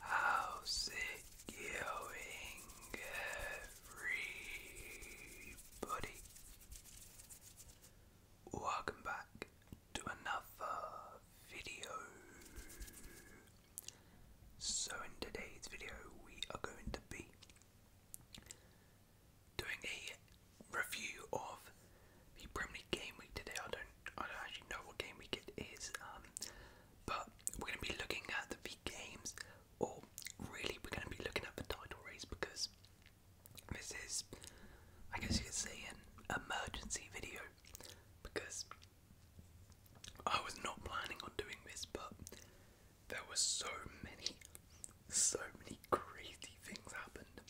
How's it going, everybody? Welcome back to another video. So, in today's video, we are going to be doing a review of the Premier League game week today. I don't, I don't actually know what game week it is, um, but we're going to be looking at the big games, or really we're going to be looking at the title race because this is, I guess you could say, an emergency video because I was not planning on doing this, but there were so many, so many crazy things happened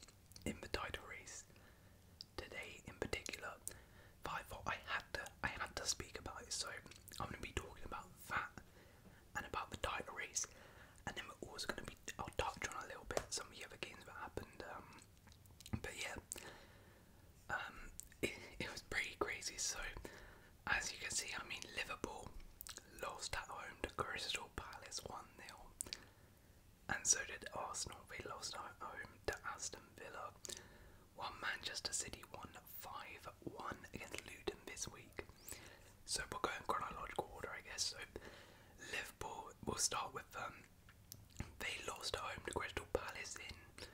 in the title race today in particular, I thought I had to I had to speak about it, so I'm gonna be talking about that and about the title and then we're also gonna be I'll touch on a little bit some of the other games that happened. Um, but yeah, um, it, it was pretty crazy. So as you can see, I mean Liverpool lost at home to Crystal Palace one 0 and so did Arsenal. They lost at home to Aston Villa. While Manchester City won 5 1 against Luton this week. So we'll go in chronological order, I guess. So Liverpool, we'll start with them. Um, they lost at home to Crystal Palace in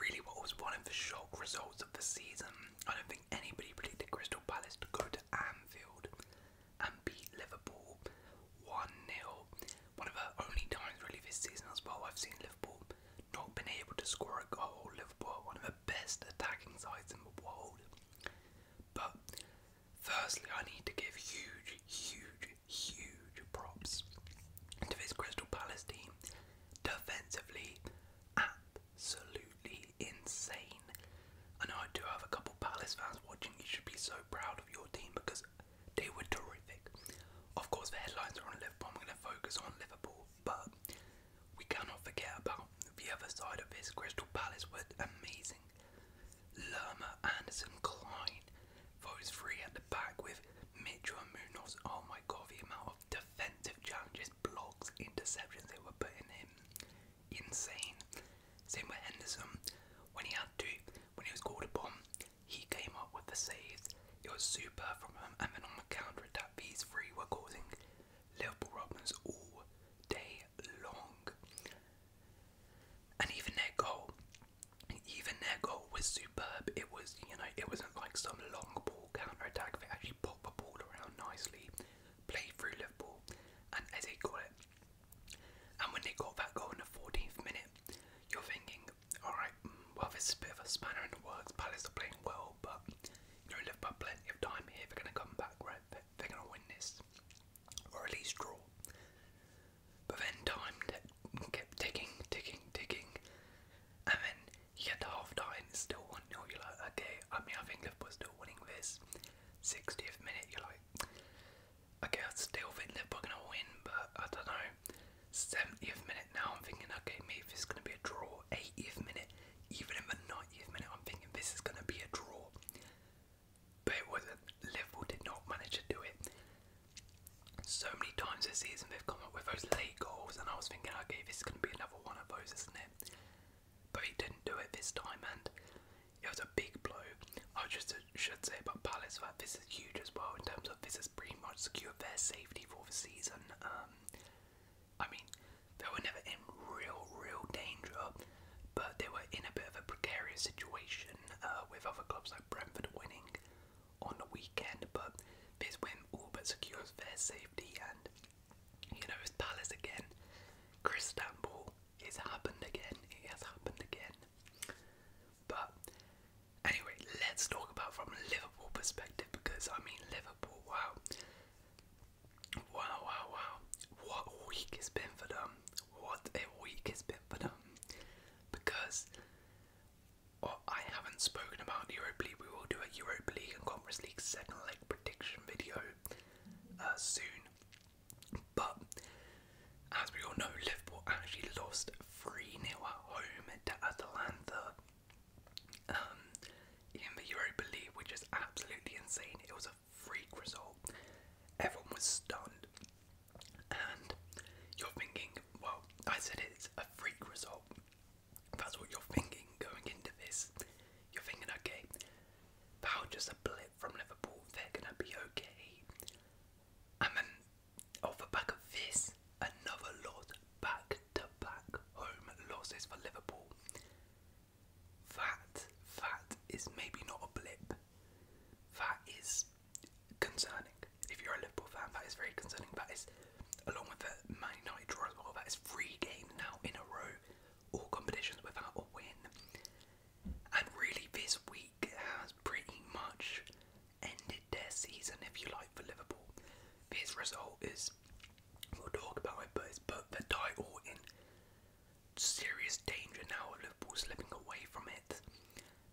really what was one of the shock results of the season. I don't think anybody predicted Crystal Palace to go to Anfield and beat Liverpool 1 0. One of the only times, really, this season as well, I've seen Liverpool not been able to score a goal. Liverpool, one of the best attacking sides in the world. But firstly, I need to give huge, huge, huge props to this Crystal Palace team. Defensively, absolutely insane. I know I do have a couple Palace fans watching, you should be so proud your team because they were terrific. Of course, the headlines are on Liverpool. I'm going to focus on Liverpool, but we cannot forget about the other side of this. Crystal Palace were amazing. Lerma, Anderson, Klein, those three at the back with Mitchell and Munoz. Oh my god, the amount of defensive challenges, blocks, interceptions they were putting in. Insane. Same with Henderson. When he had to, when he was called upon, he came up with the saves. It was super from him, and then on the counter attack, these three were causing Liverpool problems all day long. And even their goal, even their goal was superb. It was, you know, it wasn't like some long ball counter attack. They actually popped the ball around nicely, played through Liverpool, and as they call it, and when they got that goal in the 14th minute, you're thinking, alright, mm, well, this is a bit of a spanner in the works. Palace are playing well, but you know, Liverpool have plenty of time here. They're going to come back, right? They're going to win this, or at least draw. But then time kept ticking, ticking, ticking, and then you get to half time, it's still 1 nil. You're like, okay, I mean, I think Liverpool's still winning this. 60th minute, you're like, Okay, I still think they gonna win, but I don't know. 70th minute now, I'm thinking, okay, maybe this is gonna be a draw. 80th minute, even in the 90th minute, I'm thinking this is gonna be a draw. But it wasn't. Liverpool did not manage to do it. So many times this season they've come up with those late goals, and I was thinking, okay, this is gonna be another one of those, isn't it? But he didn't do it this time, and it was a big blow. I just should say about Palace that this is huge as well in terms of this has pretty much secured their safety for the season. Um, I mean, they were never in real, real danger, but they were in a bit of a precarious situation uh, with other clubs like Brentford winning on the weekend. But this win all but secures their safety, and you know it's Palace again. Chris Stample, it's happened again. It has happened again. But anyway, let's talk about from Liverpool perspective because I mean Liverpool, wow. Wow, wow, wow. What a week it's been for them. What a week it's been for them. Because well, I haven't spoken about the Europa League. We will do a Europa League and Conference League second leg prediction video uh, soon. But as we all know, Liverpool actually lost 3 nil at home to Atalanta um, in the Europa League, which is absolutely insane. It was a freak result. Everyone was stunned. And you're thinking, well, I said it's a freak result. That's what you're thinking going into this. You're thinking, okay, that was just a blip from Liverpool, they're gonna be okay. And then off the back of this, another lot back to back home losses for Liverpool. That that is maybe not a blip. That is concerning. If you're a Liverpool fan, that is very concerning. That is along with the Man United draw as well, that is three games now in a row, all competitions without a win. And really this week league has pretty much ended their season, if you like, for Liverpool. This result is, we'll talk about it, but put the title in serious danger now of Liverpool slipping away from it.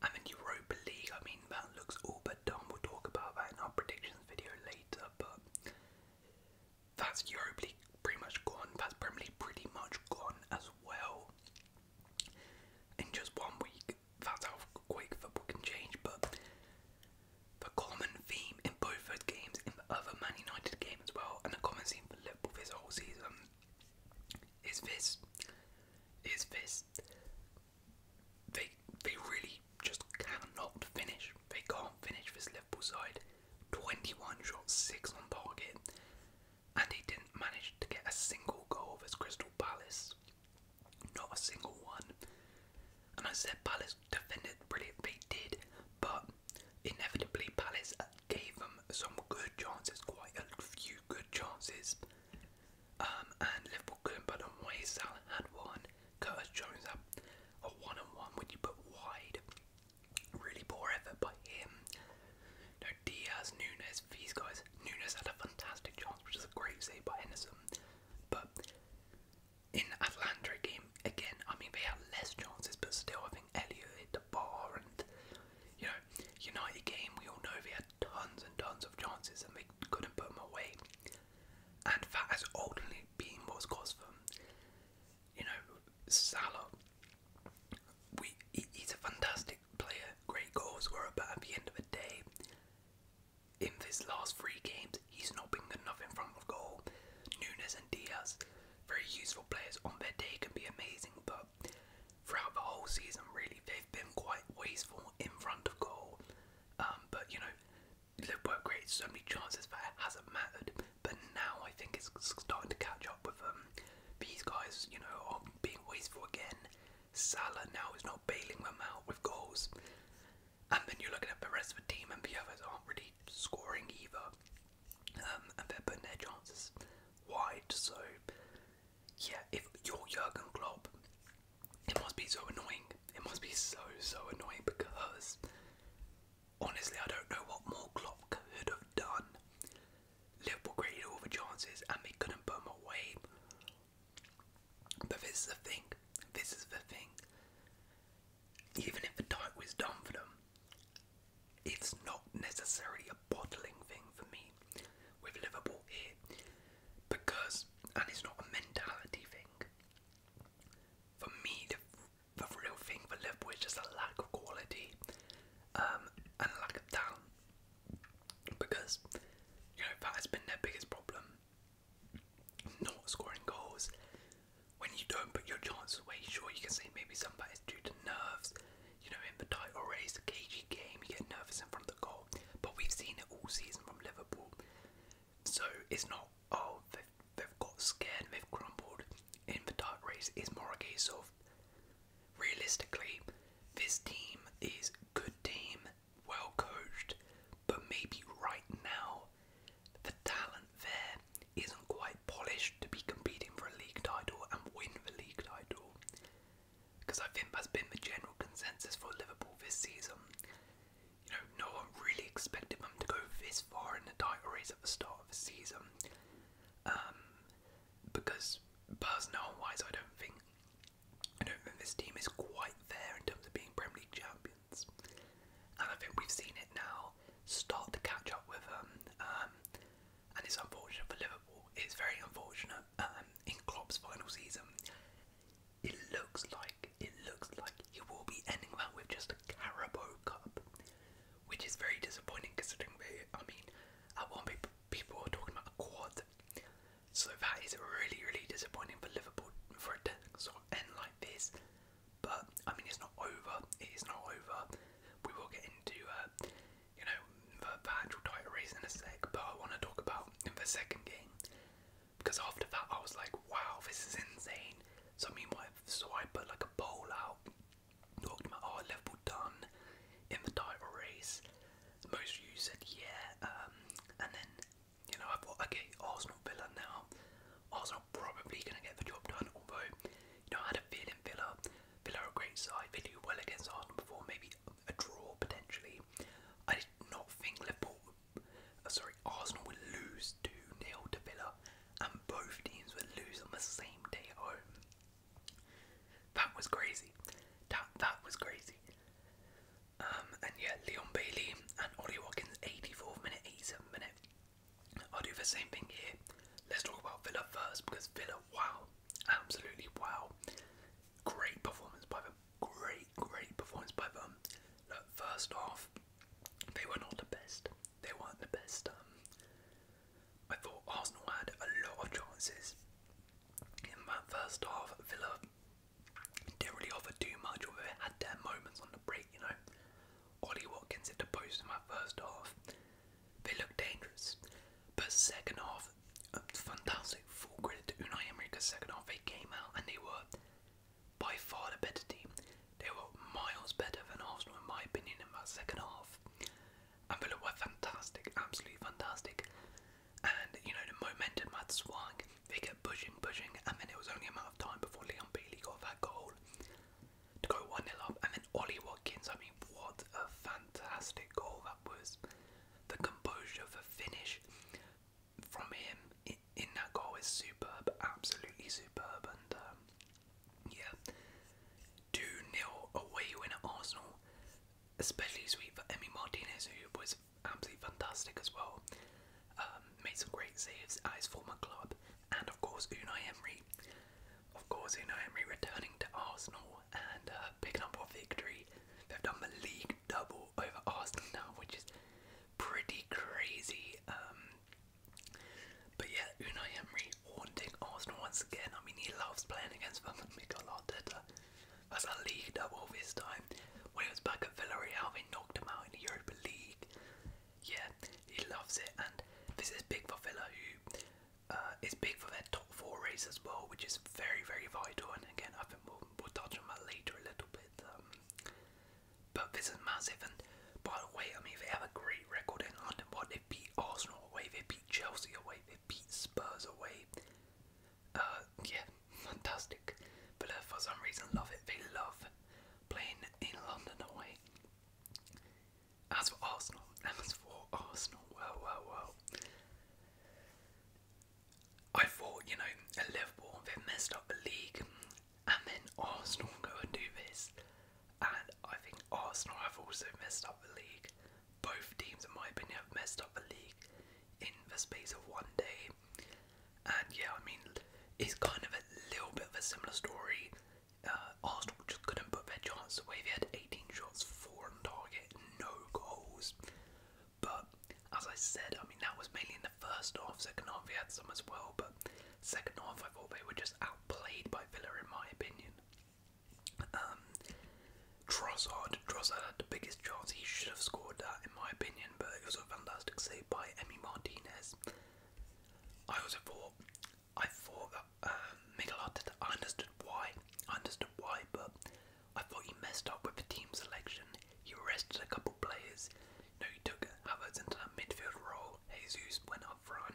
And then Europa League, I mean, that looks all but done. We'll talk about that in our predictions video later, but that's Europa League pretty much gone. That's Premier League pretty much gone as well in just one week. That's how quick football can change, but the common theme in both those games, in the other Man United game as well, and the common theme for Liverpool this whole season is this. Is this. They they really just cannot finish. They can't finish this Liverpool side. 21 shots, 6 on target and he didn't manage to get a single goal his Crystal Palace. Not a single one. And I said Palace defended brilliantly, did, but inevitably Palace gave them some good chances, quite a few good chances. Um, and Liverpool couldn't put on way. Salah had one. Curtis Jones had a one -on -one when you put wide. Really poor effort by him. You know, Diaz, Nunes, these guys. Nunes had a fantastic chance, which is a great save by Henderson. But in the Atlanta game, again, I mean, they had less chances, but still, I think Elliot hit the bar. And, you know, United game, we all know they had tons and tons of chances and they couldn't put them away. And that has ultimately been what's cost them you know, Salah. We, he's a fantastic player, great goalscorer, but at the end of the day, in his last three games, he's not been good enough in front of goal. Nunes and Diaz, very useful players on their day, can be amazing, but throughout the whole season, really, they've been quite wasteful in front of goal. Um, but you know, Liverpool created so many chances but it hasn't mattered. But now I think it's starting to catch up with them. Um, these guys, you know, are being wasteful again. Salah now is not bailing them out with goals. And then you're looking at the rest of the team, and the others aren't really scoring either. Um, and they're putting their chances wide. So, yeah, if you're Jurgen Klopp, it must be so annoying. It must be so, so annoying because honestly, I don't know what more Klopp could have done Liverpool created all the chances and they couldn't put them away. But this is the thing. This is the thing. Even if the diet was done for them, it's not necessarily a bottling thing for me with Liverpool here. Because, and it's not a mentality thing. For me, the, the real thing for Liverpool is just a lack of quality um, and lack of talent because you know that has been their biggest problem. Not scoring goals when you don't put your chances away. Sure, you can say maybe some of that is due to nerves. You know, in the title race, a cagey game, you get nervous in front of the goal. But we've seen it all season from Liverpool, so it's not oh they've, got scared, they've crumbled in the title race. It's more a case of realistically, this team is good team, well coached, but maybe right now the talent there isn't quite polished to be competing for a league title and win the league title. Because I think that's been the general consensus for Liverpool this season. You know, no one really expected them to go this far in the title race at the start of the season. Um, because personnel wise, I don't think I don't think this team is quite there in terms of being Premier League champions. And I think we've seen it now start to catch up with them, um, um, and it's unfortunate for Liverpool. It's very unfortunate. Um, in Klopp's final season, it looks like it looks like he will be ending that with just a Carabao Cup which is very disappointing considering they, I mean, at one point people were talking about a quad. So that is really, really disappointing for Liverpool for it to sort end like this. But I mean, it's not over. It is not over. We will get into, uh, you know, the, the actual title race in a sec. But I want to talk about the second game because after that I was like, wow, this is insane. So I mean, like a bowl out talking about oh Liverpool done in the title race. Most of said yeah, um, and then you know I thought okay Arsenal Villa now. Arsenal probably gonna get the job done, although you know I had a feeling Villa, Villa a great side. They well against Arsenal before, maybe a draw potentially. I did not think Liverpool, uh, sorry Arsenal would lose two 0 to Villa, and both teams would lose on the same day at home. That was crazy. That that was crazy. Um, and yeah, Leon Bailey and Ollie Watkins, 84th minute, 87th minute. I'll do the same thing here. Let's talk about Villa first because Villa, wow, absolutely wow. Great performance by them. Great, great performance by them. Look, first off, they were not the best they weren't the best. Um, I thought Arsenal had a lot of chances in that first half. Villa didn't really offer too much, although they had their moments on the break. You know, Ollie Watkins hit the post in my first half. They looked dangerous, but second half, um, fantastic. Full credit to Unai Emery because second half they came out and they were by far the better team. They were miles better than Arsenal in my opinion in that second half and Villa were fantastic, absolutely fantastic. And you know, the momentum had swung, they kept pushing, pushing, and then it was only a matter of time before Leon Bailey got that goal to go 1 0 up. And then Ollie Watkins, I mean, what a fantastic goal that was! The composure, for finish from him in, that goal is superb, absolutely superb. And um, yeah. 2 0 away win at Arsenal. Especially sweet for Emmy Martinez, who was absolutely fantastic as well. Um, made some great saves at former club. And of course, Unai Emery. Of course, Unai Emery returning to Arsenal and uh, picking up a victory. They've done the league double over Arsenal which is pretty crazy. Um, but yeah, Unai Emery haunting Arsenal once again. I mean, he loves playing against them. Mikel Arteta. That's a league double this time. When he was back at Villarreal, they knocked him out in the Europa League. Yeah, he loves it, and this is big for Villa, who uh, is big for their top four race as well, which is very, very vital. And again, I think we'll, we'll touch on that later a little bit. Um, but this is massive, and by the way, I mean they have a great record in London. What they beat Arsenal away. They beat Chelsea away. They beat Spurs away. Uh, yeah, fantastic. But uh, for some reason, love it. They love playing in London away. As for Arsenal, as for Arsenal, well, well, well. I thought, you know, at Liverpool, they messed up the league, and then Arsenal go and do this and I think Arsenal have also messed up the league. Both teams, in my opinion, have messed up the league in the space of one day. And yeah, I mean, it's kind of a little bit of a similar story. Uh, Arsenal just couldn't put their chances away. They had 18 shots, 4 on target, no goals. But as I said, I mean, that was mainly in the first half. Second half, they had some as well. But second half, I thought they were just outplayed by Villa, in my opinion. Um, Trossard, had the biggest chance. He should have scored that, in my opinion. But it was a fantastic save by Emi Martinez. I also thought, I thought that um, Miguel Arteta. I understood why. I understood why, but I thought he messed up with the team selection. He rested a couple players. You he took Havertz into that midfield role. Jesus went up front.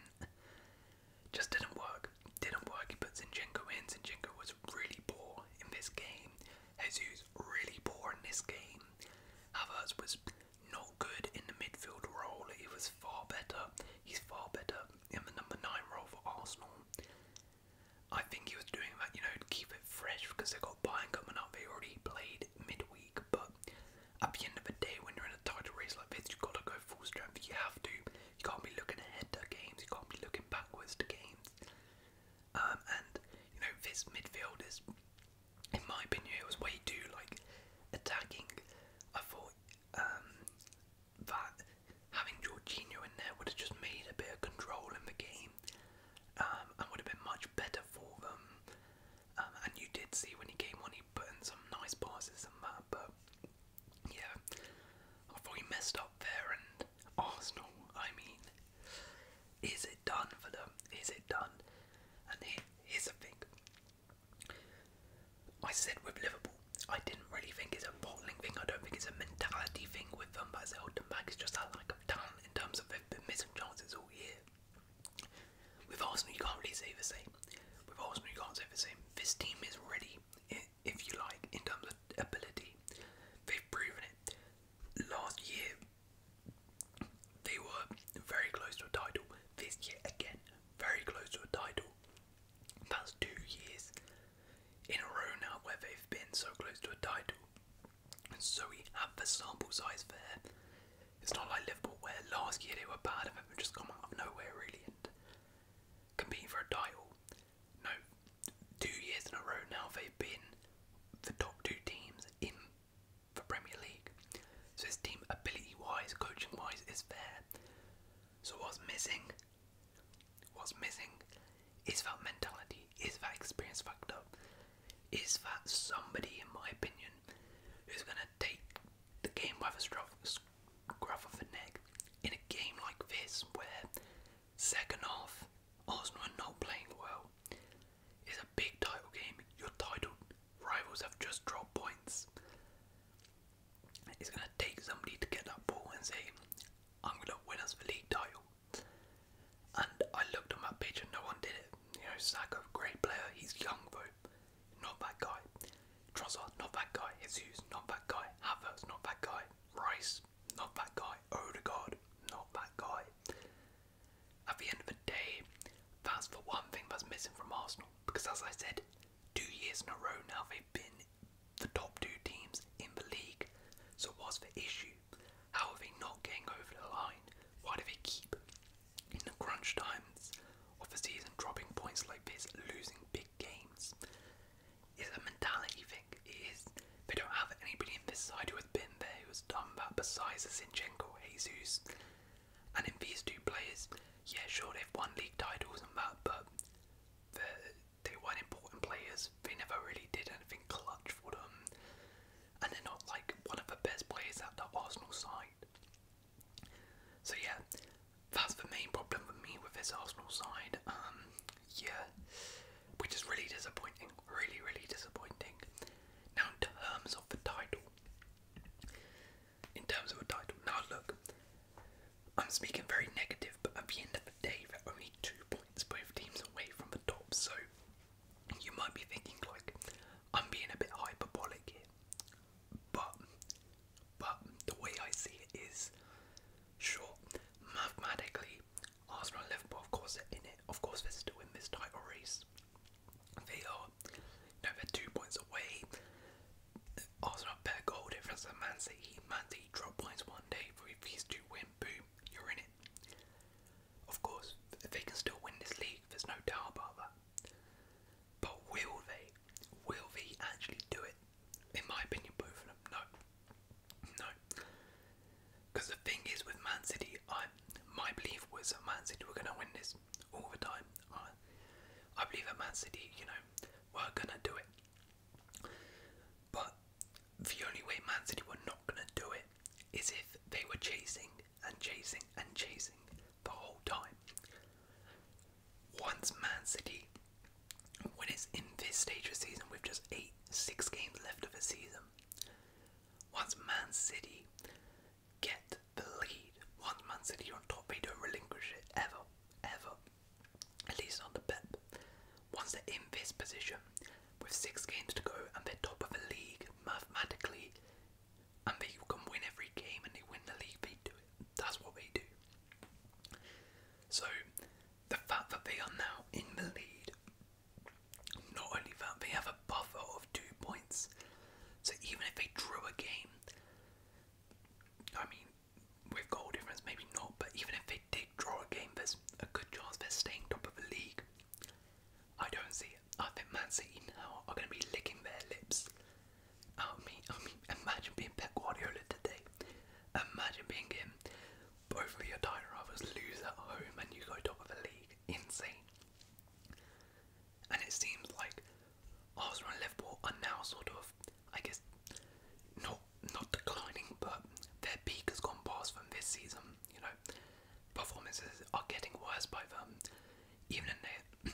Just didn't work. Didn't work. He put Zinchenko in. Zinchenko was really poor in this game. Jesus really poor in this game. Havertz was not good in the midfield role. He was far better. He's far better in the number nine role for Arsenal. I think he was doing that, you know, keep it fresh because they got Bayern coming up. They already played midweek, but at the end of the day, when you're in a tight race like this, you've got to go full strength. You have to. You can't be looking ahead to games. You can't be looking backwards to games. Um, and you know this midfield is, in my opinion, it was way too like attacking. I thought um, that having Georgino in there would have just made a bit of control in the game um, and would have been much better for them. Um, and you did see when he came on, he put in some nice passes and that, but yeah, I thought he messed up there. And Arsenal, I mean, is it done for them? Is it done? And here's the thing I said with Liverpool, I didn't really think it's a bottling thing, I don't think it's a mentality thing with them, but as back, it's just that lack of talent in terms of they've been missing chances all year. With Arsenal, you can't really say the same. With Arsenal, you can't say the same. This team is ready, if you like, in terms of ability. They've proven it. Last year, they were very close to a title. This year, again, very close to a title. That's two years in a row now where they've been so close to a title. And so we have the sample size there. It's not like Liverpool where last year they were bad and they've just come out of nowhere really and competing for a title. No, two years in a row now they've been the top two teams in the Premier League. So his team ability-wise, coaching-wise is there. So what's missing? What's missing is that mentality, is that experience fucked up? is that somebody, in my opinion, who's gonna take the game by the scruff, grab off the neck in a game like this, where second half Arsenal are not playing well. It's a big title game. Your title rivals have just dropped points. It's gonna take somebody to get that ball and say, "I'm gonna win us the league title." And I looked on that pitch and no one did it. You know, Saka, great player. He's young though not that guy. Trossard, not that guy. Jesus, not that guy. Havertz, not that guy. Rice, not that guy. Odegaard, not that guy. At the end of the day, that's for one thing that's missing from Arsenal. Because as I said, two years in a row now they've been the top two teams in the league. So what's the issue? How are they not getting over the line? Why do they keep in the crunch times of the season, dropping points like this, losing big games, is a mentality thing. Is They don't have anybody in this side who has been there, who has done that, besides Zinchenko, Jesus. And in these two players, yeah, sure, they've won league titles and that, but they weren't important players. They never really did anything clutch for them. And they're not like one of the best players at the Arsenal side. So yeah, that's the main problem for me with this Arsenal side. Um, yeah, which is really disappointing. Really, really disappointing. Now, in terms of the title, in terms of the title, now look, I'm speaking very negative, but at the end of the day, they're only two points both teams away from the top. So you might be thinking like, I'm being a bit hyperbolic here. But, but the way I see it is, sure, mathematically, Arsenal Liverpool, of course, are in it. Of course, they're still in this title race. They are, know, they're two points away. Arsenal have better goal difference Man City. Man City drop points one day, but if these two win, boom, you're in it. Of course, they can still win this league, there's no doubt about that. But will they? Will Vee actually do it? In my opinion, both of them. No. No. Because the thing is, with Man City, I my belief was Man City were going to win this all the time. I, I believe that Man City, you know, were going to do it. But the only way Man City were not going to do it is if they were chasing and chasing and chasing the whole time. Once Man City, when it's in this stage of the season with just eight, six games left of the season, once Man City get the lead, once Man City are on top, they don't relinquish it ever, ever. At least on the Pep. Once they're in this position, with six games to go and they're top of the league, mathematically, and they can win every game and they win the league, they do That's what they do. So the fact that they are now in the lead, not only that, they have a buffer of two points. So even if they drew a game, I mean, with goal difference, maybe not, but even if they did draw a game, there's a good chance they're staying top of the league. I don't see it. I think Man City now are going to be licking their lips I oh, mean, I oh, mean, imagine being Pep Guardiola today. Imagine being him. Both of your title rivals lose at home and you go top of the league. Insane. And it seems like Arsenal and Liverpool are now sort of, I guess, not not declining, but their peak has gone past them this season. You know, performances are getting worse by them. Even in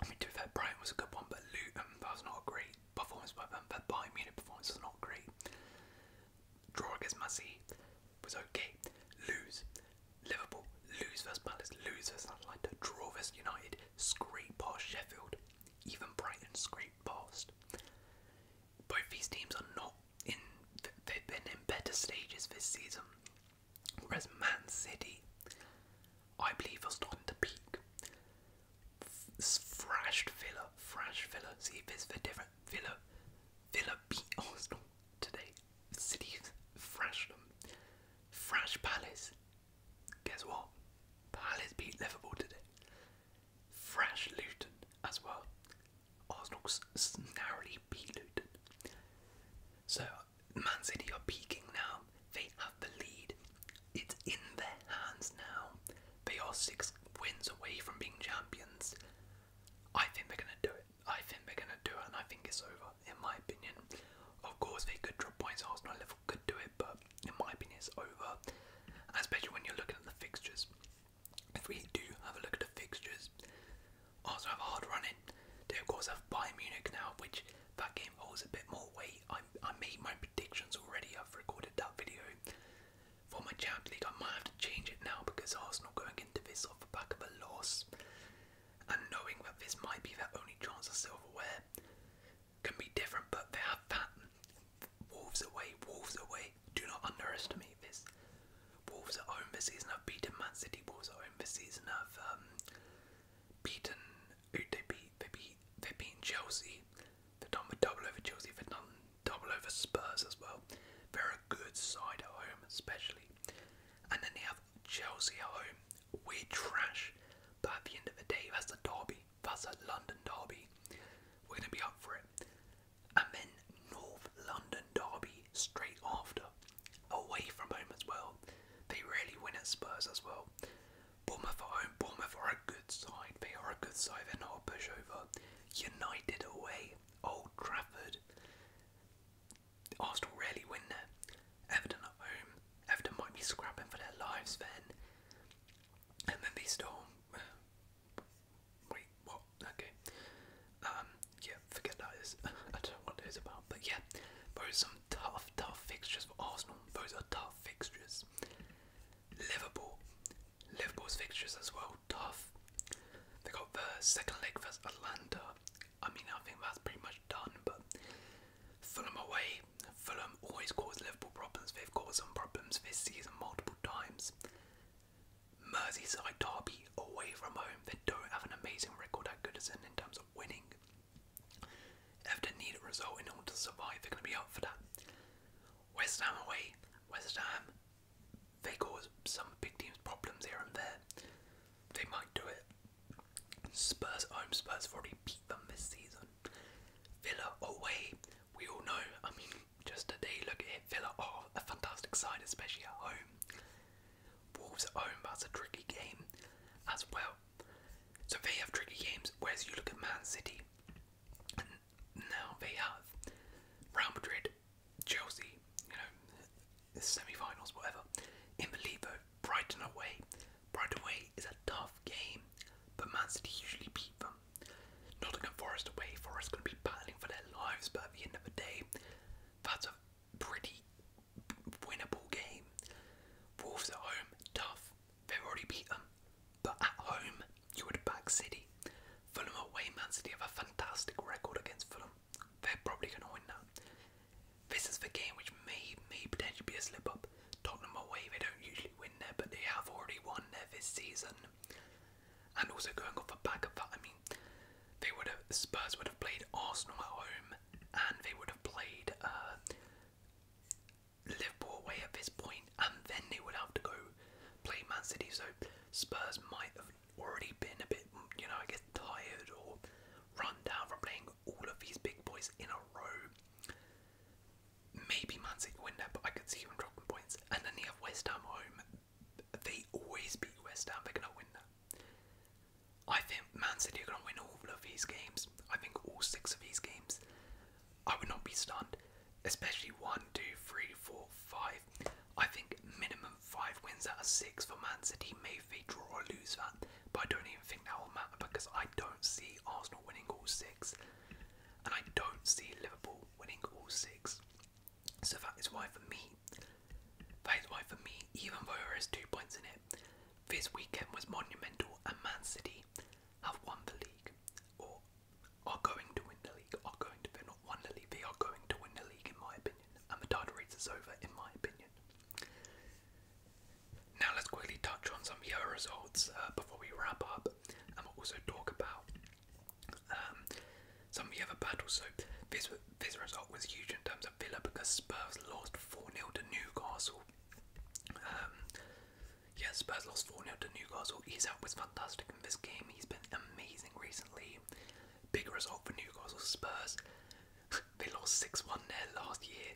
I mean, to be fair, Brighton was a good one, but that was not great performance by them. Their Bayern Munich performance was not great. Draw against Massey was okay. Lose. Liverpool, lose versus Palace, lose versus Atlanta, draw versus United, scrape past Sheffield, even Brighton scrape past. Both these teams are not in, they've been in better stages this season. Whereas Man City, I believe, are starting to peak. Thrashed Villa, thrashed Villa. See if it's the different Villa. Villa beat Arsenal today. City thrashed them. Thrashed Palace. Guess what? Palace beat Liverpool today. Thrashed Luton as well. Arsenal narrowly beat Luton. So Man City are peaking now. They have the lead. It's in their hands now. They are six wins away from being champions. I think they're gonna do it. I think they're gonna do it, and I think it's over. In my opinion, of course they could drop points. Arsenal level could do it, but in my opinion, it's over. Especially when you're looking at the fixtures. If we do have a look at the fixtures, also have hard running. They of course have Bayern Munich now, which that game holds a bit more weight. I, I made my predictions already. I've recorded that video for my Champions League. I might have to change it now because Arsenal going into this off the back of a loss, and knowing that this might be their only chance of silverware can be different. But they have that. Wolves away, Wolves away. Do not underestimate this. Wolves at home this season have beaten Man City. Wolves at home this season have um, beaten who they beat they beat they've beaten Chelsea. They've done the double over Chelsea, they've done double over Spurs as well. They're a good side at home especially. And then they have Chelsea at home. We're trash. But at the end of the day that's a derby. That's a London derby. We're gonna be up for it. And then North London derby straight after away from home as well. They rarely win at Spurs as well. Bournemouth at home, Bournemouth are a good side. They are a good side, they're not a pushover. United away, Old Trafford. Arsenal rarely win there. Everton at home, Everton might be scrapping for their lives then. And then they storm. Wait, what? Okay. Um, yeah, forget that is. I don't know what that is about. But yeah, those some some tough, tough fixtures for Arsenal. Those are tough fixtures. Liverpool. Liverpool's fixtures as well, tough. They got the second leg versus Atlanta. I mean, I think that's pretty much done, but Fulham away. Fulham always cause Liverpool problems. They've caused some problems this season multiple times. Merseyside Derby away from home. They don't have an amazing record at Goodison in terms of winning. Everton need a result in order to survive. They're going to be up for that. West Ham away. West Ham, they cause some big teams problems here and there. They might do it. Spurs home. Spurs have already beat them this season. Villa away. We all know. I mean, just today, look at it. Villa are a fantastic side, especially at home. Wolves at home, but it's a tricky game as well. So they have tricky games, whereas you look at Man City, now they have Real Madrid, Chelsea, you know, semi finals, whatever. In the league, though, Brighton away. Brighton away is a tough game, but Man City usually beat them. Nottingham Forest away, Forest going to be battling for their lives, but at the end of the day, that's a pretty winnable game. Wolves at home, tough. They've already beat them. But at home, you would back City. Fulham away, Man City have a fantastic record against Fulham. They're probably going to win that. This is the game which may, may potentially be a slip up. Tottenham away, they don't usually win there, but they have already won there this season. And also going off a back of that, I mean, they would have Spurs would have played Arsenal at home, and they would have played uh, Liverpool away at this point, and then they would have to go play Man City. So Spurs might have already been a bit, you know, I guess tired or run down from playing all of these big boys in a row. Maybe Man City win that, but I could see them dropping points. And then they have West Ham home. They always beat West Ham. They're gonna win that. I think Man City are going to win all of these games. I think all six of these games. I would not be stunned, especially one, two, three, four, five. I think minimum five wins out of six for Man City. may be draw or lose that, but I don't even think that will matter because I don't see Arsenal winning all six, and I don't see Liverpool winning all six. So that is why, for me, Phase Y for me, even though there is two points in it, this weekend was monumental and Man City have won the league. Or are going to win the league. Are going to they're not the league, they are going to win the league in my opinion. And the title race is over in my opinion. Now let's quickly touch on some of your results uh, before we wrap up and we'll also talk about um, some of the other battles. So this this result was huge in terms of Villa because Spurs lost 4 0 to Newcastle. Um, yes, Spurs lost 4 0 to Newcastle. Isak was fantastic in this game, he's been amazing recently. Big result for Newcastle Spurs. they lost 6 1 there last year,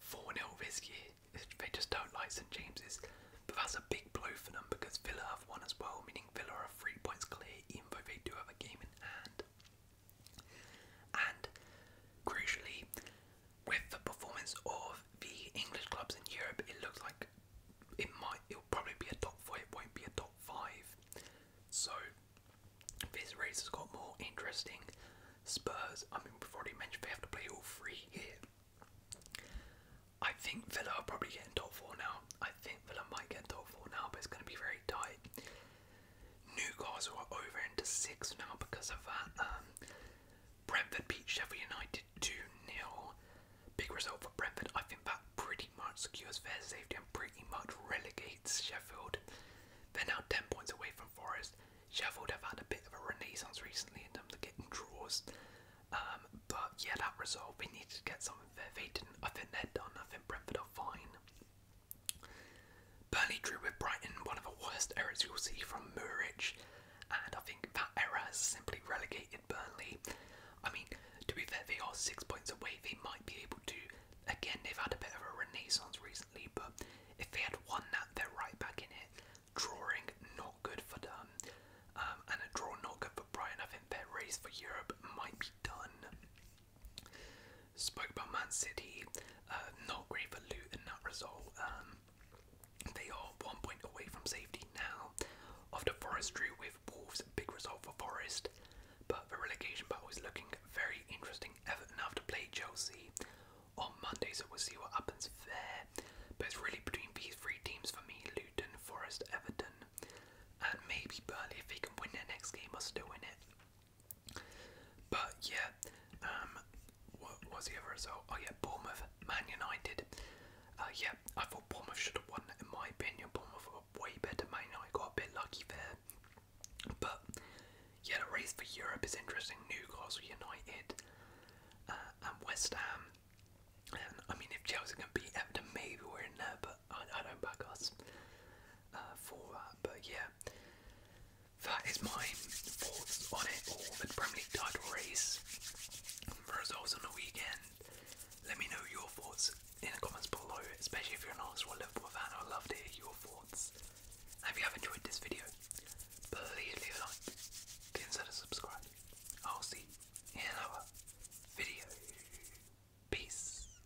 4 0 this year. They just don't like St James's. But that's a big blow for them because Villa have won as well, meaning Villa are three points clear even though they do have a game in hand. And crucially, with the performance of the English clubs in Europe, it looks like it might it'll probably be a top four, it won't be a top five. So this race has got more interesting. Spurs, I mean we've already mentioned they have to play all three here. I think Villa are probably getting top four now. I think Villa might get top four now, but it's gonna be very tight new guys who are over into six now because of that. Um, Brentford beat Sheffield United 2 0. Big result for Brentford. I think that pretty much secures their safety and pretty much relegates Sheffield. They're now 10 points away from Forest. Sheffield have had a bit of a renaissance recently in terms of getting draws. Um, but yeah, that result, we needed to get something there. They didn't. I think they're done. I Brentford are fine. Burnley drew with Brighton, one of the worst errors you'll see from Murich, and I think that error has simply relegated Burnley. I mean, to be fair, they are six points away, they might be able to. Again, they've had a bit of a renaissance recently, but if they had won that, they're right back in it. Drawing not good for them, um, and a draw not good for Brighton. I think their race for Europe might be done spoke about Man City, uh, not great for Luton, that result. Um, they are one point away from safety now after Forest drew with Wolves, big result for Forest. But the relegation battle is looking very interesting. Everton have to play Chelsea on Monday, so we'll see what happens there. But it's really between these three teams for me Luton, Forest, Everton, and maybe Burnley if they can win their next game or still win it. But yeah, um, what was the other result? Oh yeah, Bournemouth, Man United. Uh, yeah, I thought Bournemouth should have won. In my opinion, Bournemouth were way better. Man United got a bit lucky there. But yeah, the race for Europe is interesting. Newcastle United uh, and West Ham. I mean, if Chelsea can beat Everton, maybe we're in there. But I, don't back us uh, for But yeah, that is my thoughts on it all. The Premier League title race results on the weekend. Let me know your thoughts in the comments below, especially if you're an Arsenal Liverpool fan. i love to hear your thoughts. if you have enjoyed this video, please leave a like, consider subscribing. I'll see you in another video. Peace.